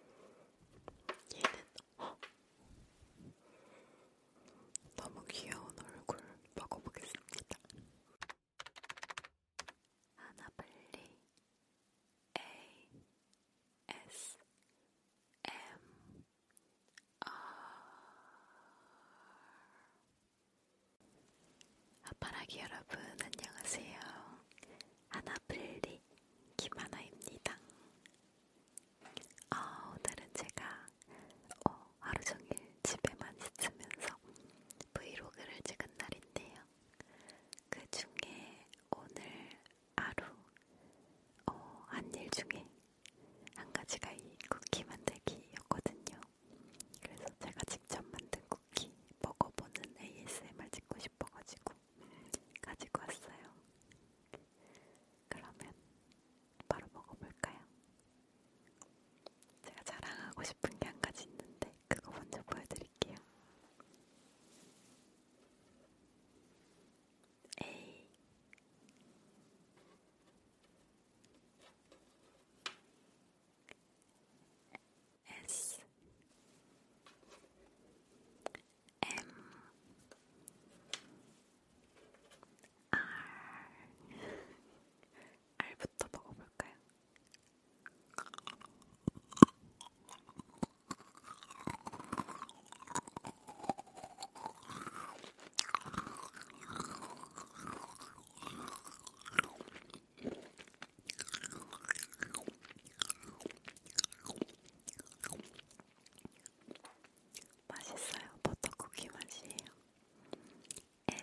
얘는 허! 어? 너무 귀여운 얼굴 먹어보겠습니다. 하나블리 A S M R 아빠라기 여러분 안녕하세요. 하나블리 김하나입니다. 아, 오늘은 제가 어, 하루 종일 집에만 있으면서 브이로그를 찍은 날인데요. 그 중에 오늘 하루 어, 한 일 중에 한 가지가 이 쿠키 만들기였거든요. 그래서 제가 직접 만든 쿠키 먹어보는 ASMR 찍고 싶어가지고 가지고 왔어요. 그러면 바로 먹어볼까요? 제가 자랑하고 싶은 게 한 가지 있는데 그거 먼저 보여드릴게요. 에이. S M R R부터 먹어볼까요? 맛있어요. 버터쿠키 맛이에요. 엠.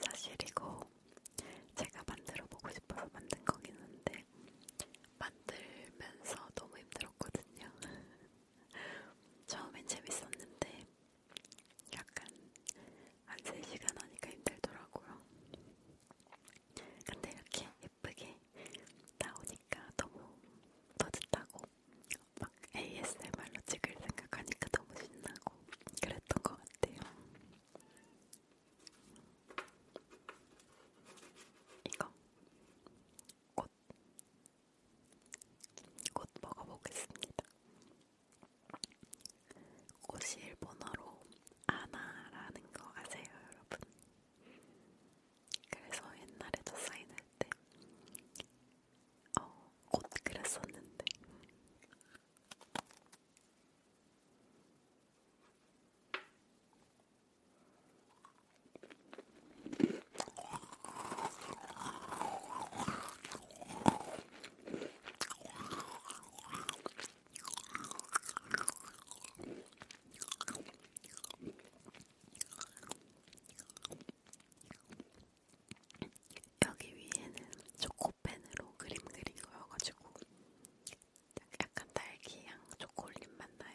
사실 이거 제가 만들어 보고 싶어서 만든 거긴 한데 만들면서 너무 힘들었거든요. 처음엔 재밌었는데 약간 한 3시간 하니까 힘들더라고요. 근데 이렇게 예쁘게 나오니까 너무 뿌듯하고 막 ASMR로 찍을 생각하니까 너무 신나고 그랬던 것 같아요. 이거 꽃, 꽃 먹어보겠습니다. 꽃이 일본어로 아나라는 거 아세요, 여러분? 그래서 옛날에 저 사인할 때, 어, 곧 그랬었는데. 여기 위에는 초코펜으로 그림 그린 거여가지고 약간 딸기향 초콜릿 맛 나요.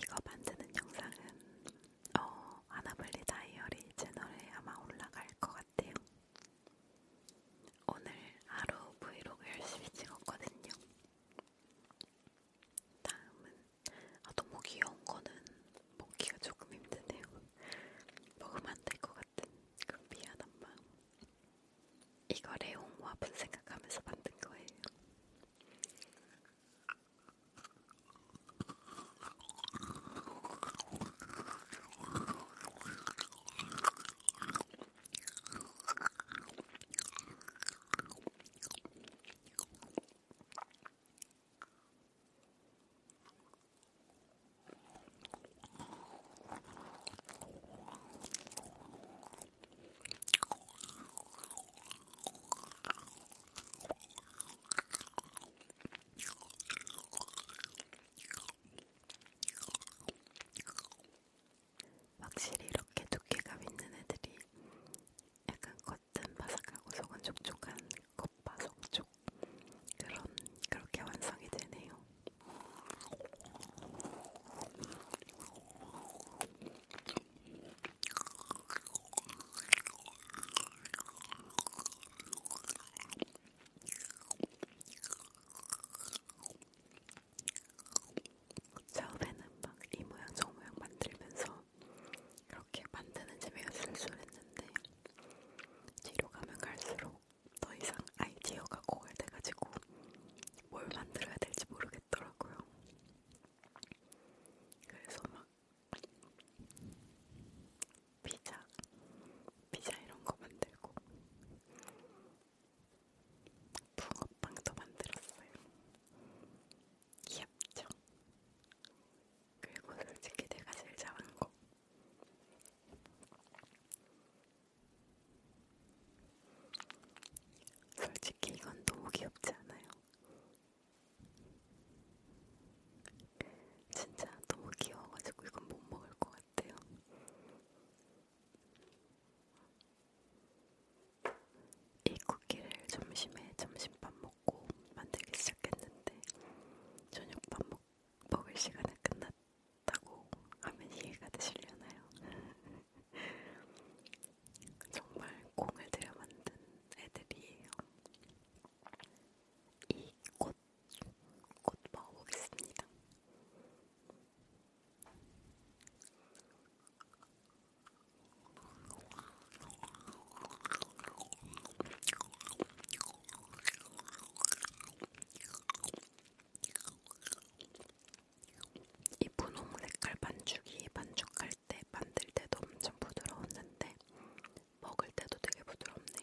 이거 만드는 영상은 어, 아나블리 다이어리 채널에 아마 올라갈 것 같아요. 오늘 하루 브이로그 열심히 찍었거든요. 다음은 아, 너무 귀여운 거는 먹기가 조금 힘드네요. 먹으면 안 될 것 같은 그 미안한 마음. 이거 레옹 화분 생각하면서 만든 거예요. 확실히 이렇게 두께감 있는 애들이 약간 겉은 바삭하고 속은 촉촉한 겉바속촉 그런 그렇게 완성이 되네요. 처음에는 막이 모양 저 모양 만들면서 그렇게 만드는 재미가 술술했는데 뒤로 가면 갈수록 더 이상 아이디어가 고갈돼가지고 뭘 만들어야 될지 모르겠더라고요. 그래서 막 피자, 피자 이런 거 만들고 붕어빵도 만들었어요. 귀엽죠? 그리고 솔직히 내가 제일 잘한 거 솔직히 이건 너무 귀엽지 않아요? 진짜 너무 귀여워가지고 이건 못 먹을 것 같아요. 이 쿠키를 점심에 점심밥 먹고 만들기 시작했는데 저녁밥 먹, 먹을 시간에 끝났 타고 하면 이해가 되시려나요? 정말 공을 들여 만든 애들이에요. 이꽃꽃 꽃 먹어보겠습니다. 이 분홍 색깔 반죽이 반죽할 때 만들 때도 엄청 부드러웠는데 먹을 때도 되게 부드럽네요.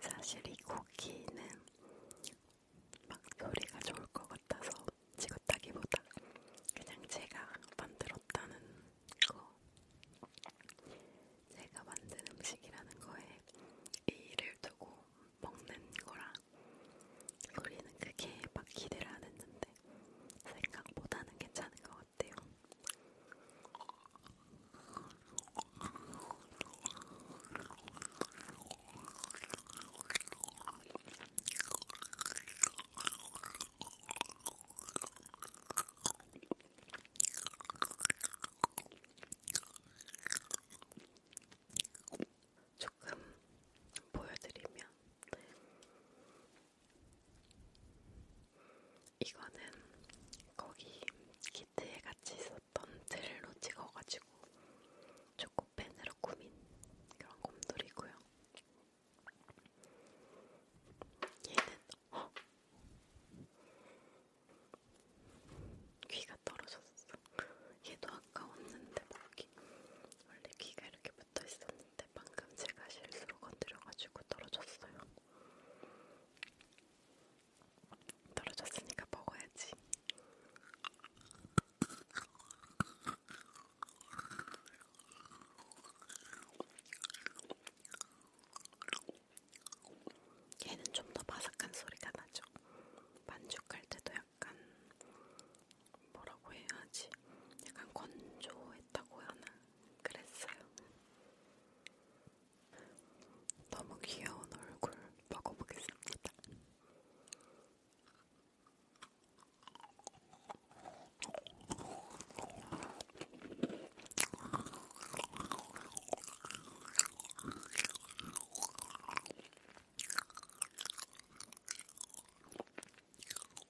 사실 이 고기는 막 요리가 좋을 것 같아서 지긋하기보다 그냥 제가 만들었다는 거 제가 만든 음식이라는 거에 의의를 두고 먹는 거라 소리는 그게 막 기대를 안 했는데 같은데 생각보다는 괜찮은 것 같아요. 조금 보여드리면 이거는 거기 키트에 같이 있었던 젤로 찍어가지고 초코펜으로 꾸민 그런 곰돌이고요. 얘는 어? 귀가 떨어졌어. 얘도 아까 왔는데 모르게 원래 귀가 이렇게 붙어 있었는데 방금 제가 실수로 건드려가지고 떨어졌어요. 떨어졌으니까 먹어야지. 얘는 좀 더 바삭한 소리가 나죠. 반죽할 때도 약간 뭐라고 해야지 약간 건조했다고 하나 그랬어요. 너무 귀여운 얼굴 먹어보겠습니다.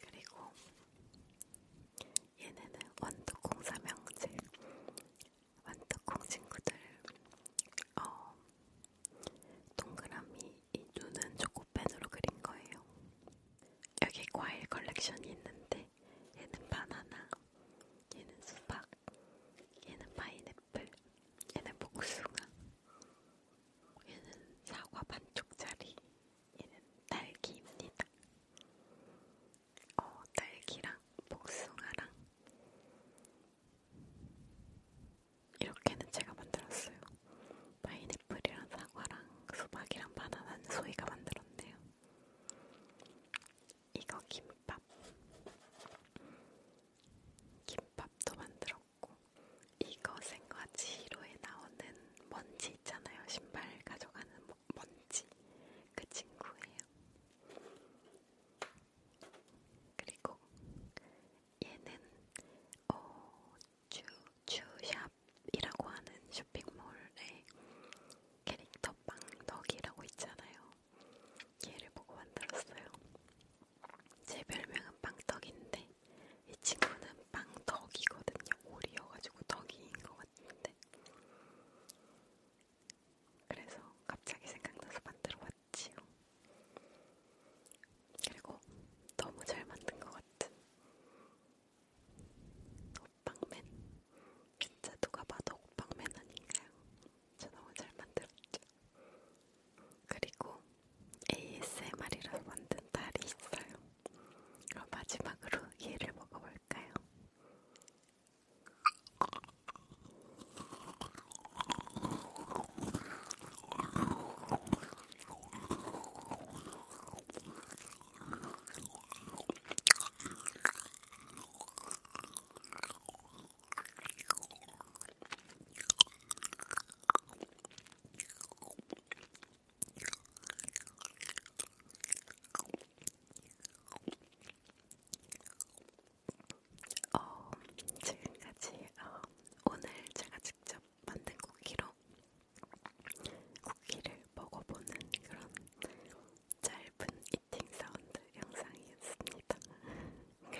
그리고 얘네는 완두콩 삼형제 완두콩 친구들 어, 동그라미 이 눈은 초코펜으로 그린 거예요. 여기 과일 컬렉션이 있는데 얘는 바나나, 얘는 수박, 얘는 파인애플, 얘는 복숭아, 얘는 사과 반쪽짜리, 얘는 딸기입니다. 어, 딸기랑 복숭아랑 이렇게는 제가 만들었어요. 파인애플이랑 사과랑 수박이랑 바나나는 소희가 만들었네요. 이거 김밥. 김밥도 만들었고 가져왔고 이것은과 지로에 나오는 먼지 있잖아요. 신발 가져가는 뭐, 먼지 그 친구예요. 그리고 얘는 어, 주, 주샵이라고 하는 쇼핑몰의 캐릭터 빵덕이라고 있잖아요. 얘를 보고 만들었어요. 제 별명은 빵떡인데 이 친구는 빵떡이거든요. 오리여가지고 떡이인 것 같은데 그래서 갑자기 생각나서 만들어봤지요. 그리고 너무 잘 만든 것 같은 호빵맨 진짜 누가 봐도 호빵맨 아닌가요? 저 너무 잘 만들었죠. 그리고 ASMR이라서 만든 달이 있어요. 그럼 마지막으로 얘를 먹어볼까요? 어, 지금까지 어, 오늘 제가 직접 만든 쿠키로 쿠키를 먹어보는 그런 짧은 이팅 사운드 영상이었습니다. 그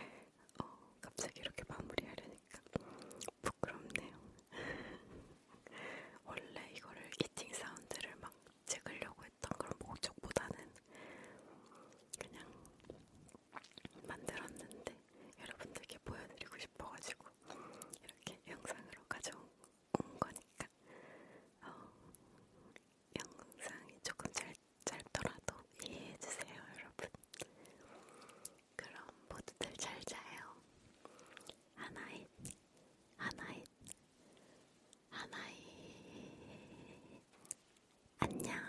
어, 갑자기 이렇게 마무리하려니까 부끄럽네요. 원래 이거를 이팅 사운드를 막 찍으려고 했던 그런 목적보다는 그냥 만들었는데 여러분들께 보여드리고 싶어가지고 이렇게 영상으로 가져온 거니까 어, 영상이 조금 짧, 짧더라도 이해해주세요, 여러분. 그럼 모두들 잘 자요. 하나잇, 하나잇, 하나잇. 안녕.